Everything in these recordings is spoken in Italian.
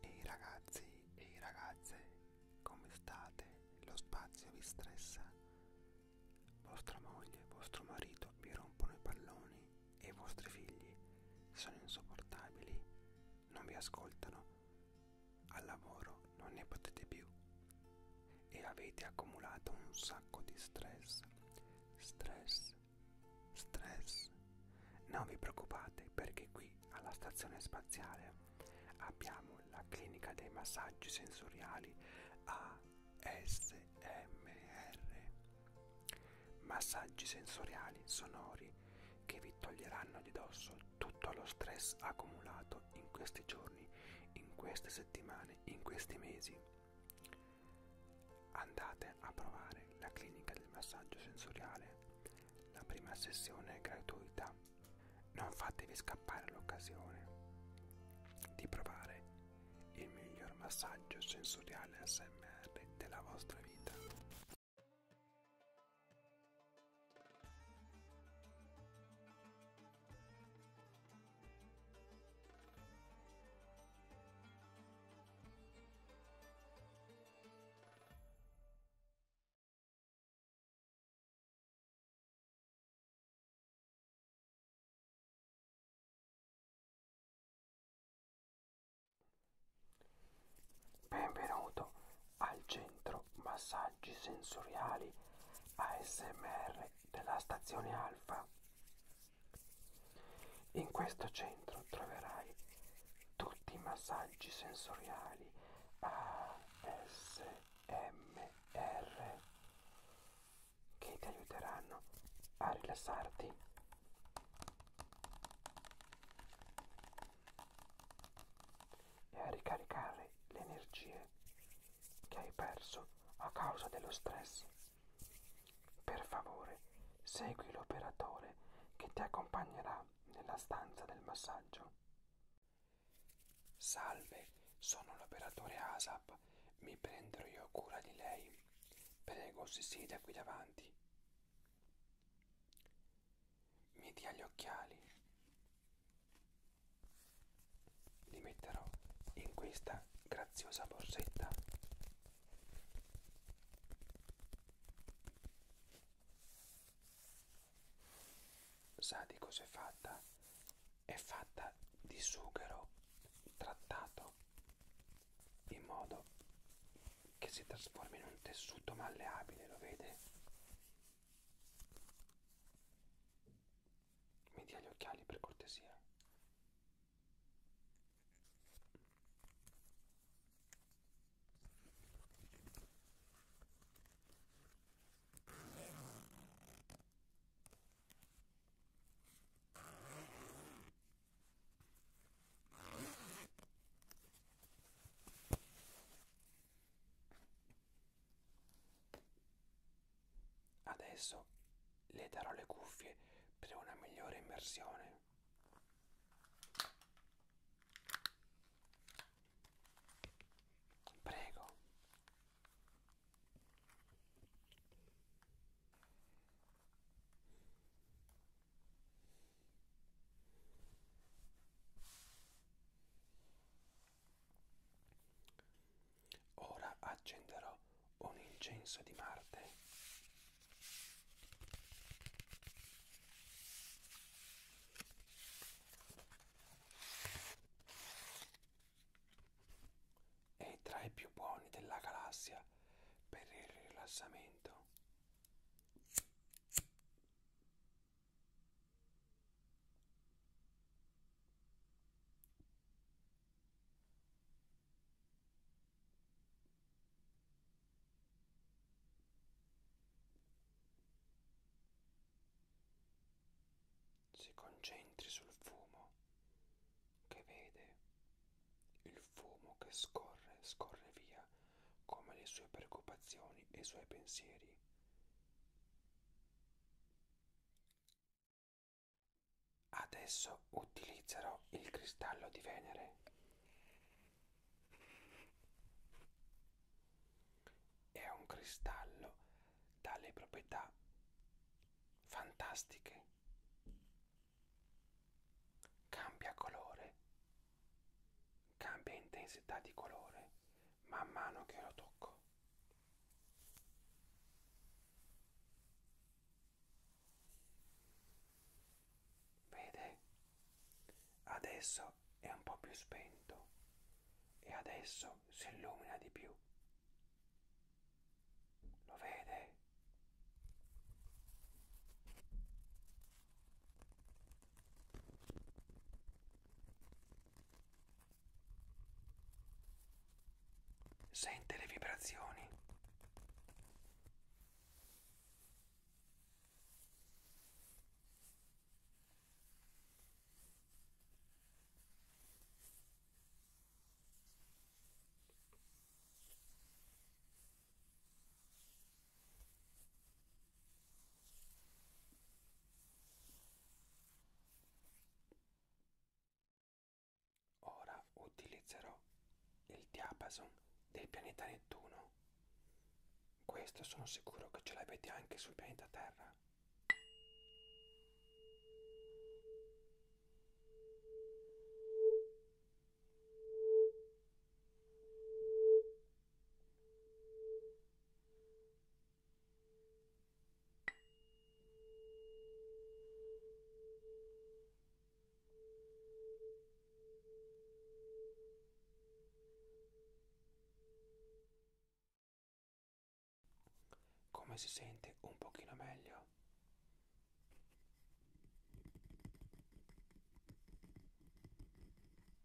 Ehi ragazzi, ehi ragazze, come state? Lo spazio vi stressa? Vostra moglie, vostro marito vi rompono i palloni e i vostri figli sono insopportabili, non vi ascoltano, al lavoro non ne potete più e avete accumulato un sacco di stress, stress stress. Non vi preoccupate perché qui alla stazione spaziale abbiamo la clinica dei massaggi sensoriali ASMR. Massaggi sensoriali sonori che vi toglieranno di dosso tutto lo stress accumulato in questi giorni, in queste settimane, in questi mesi Andate a provare la clinica del massaggio sensoriale. La prima sessione è gratuita. Non fatevi scappare l'occasione di provare il miglior massaggio sensoriale ASMR della vostra vita. Benvenuto al centro massaggi sensoriali ASMR della stazione Alfa. In questo centro troverai tutti i massaggi sensoriali ASMR che ti aiuteranno a rilassarti. E a ricaricare le energie che hai perso a causa dello stress. Per favore, segui l'operatore che ti accompagnerà nella stanza del massaggio. Salve, sono l'operatore ASAP, mi prenderò io cura di lei. Prego, si sieda qui davanti. Mi dia gli occhiali li metterò in questa graziosa borsetta sa di cos'è fatta è fatta di sughero trattato in modo che si trasforma in un tessuto malleabile lo vede mi dia gli occhiali per cortesia. Adesso le darò le cuffie per una migliore immersione. Prego. Ora accenderò un incenso di Marte. È tra i più buoni della galassia per il rilassamento. Si concentri sul fumo che vede, il fumo che scorre, scorre via come le sue preoccupazioni e i suoi pensieri. Adesso utilizzerò il cristallo di Venere è un cristallo dalle proprietà fantastiche cambia colore cambia intensità di colore man mano che lo tocco. Vede? Adesso è un po' più spento e adesso si illumina di più. Lo vede? Sente le vibrazioni. Ora utilizzerò il diapason del pianeta Nettuno. Questo sono sicuro che ce l'avete anche sul pianeta Terra. Come si sente un pochino meglio?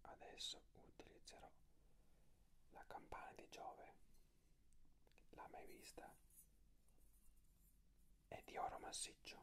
Adesso utilizzerò la campana di Giove, l'ha mai vista? È di oro massiccio.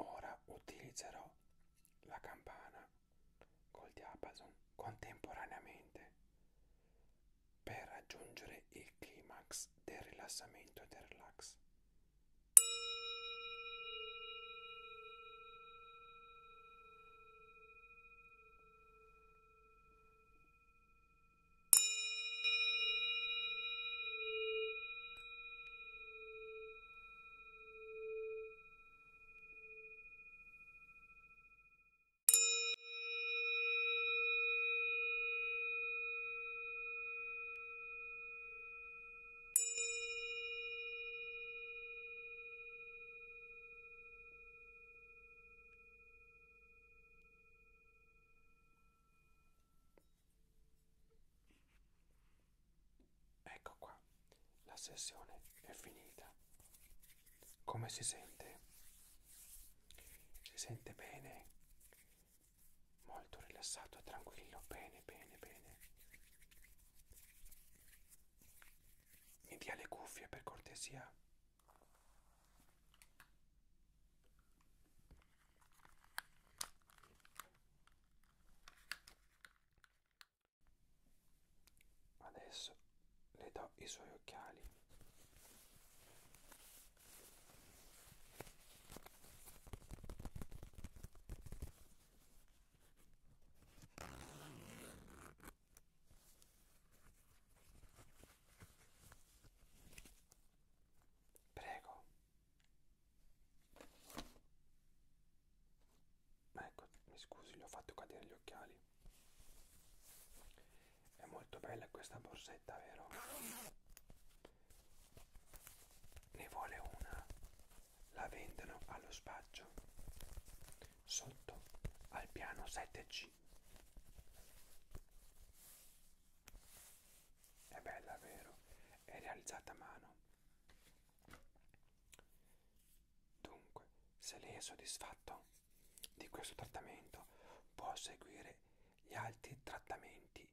Ora utilizzerò la campana col diapason contemporaneamente per raggiungere il climax del rilassamento e del relax. Ecco qua, la sessione è finita. Come si sente? Si sente bene? Molto rilassato e tranquillo, bene, bene, bene. Mi dia le cuffie per cortesia. Adesso le do i suoi occhiali. Prego. Ecco, mi scusi, gli ho fatto cadere gli occhiali. È molto bella questa borsetta, vero? Ne vuole una. La vendono allo spaccio. Sotto al piano 7C. È bella, vero? È realizzata a mano. Dunque, se lei è soddisfatto di questo trattamento può seguire gli altri trattamenti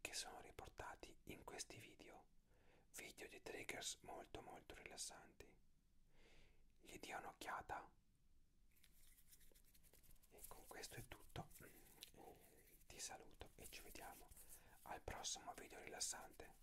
che sono riportati in questi video video di triggers molto molto rilassanti gli dia un'occhiata e con questo è tutto ti saluto e ci vediamo al prossimo video rilassante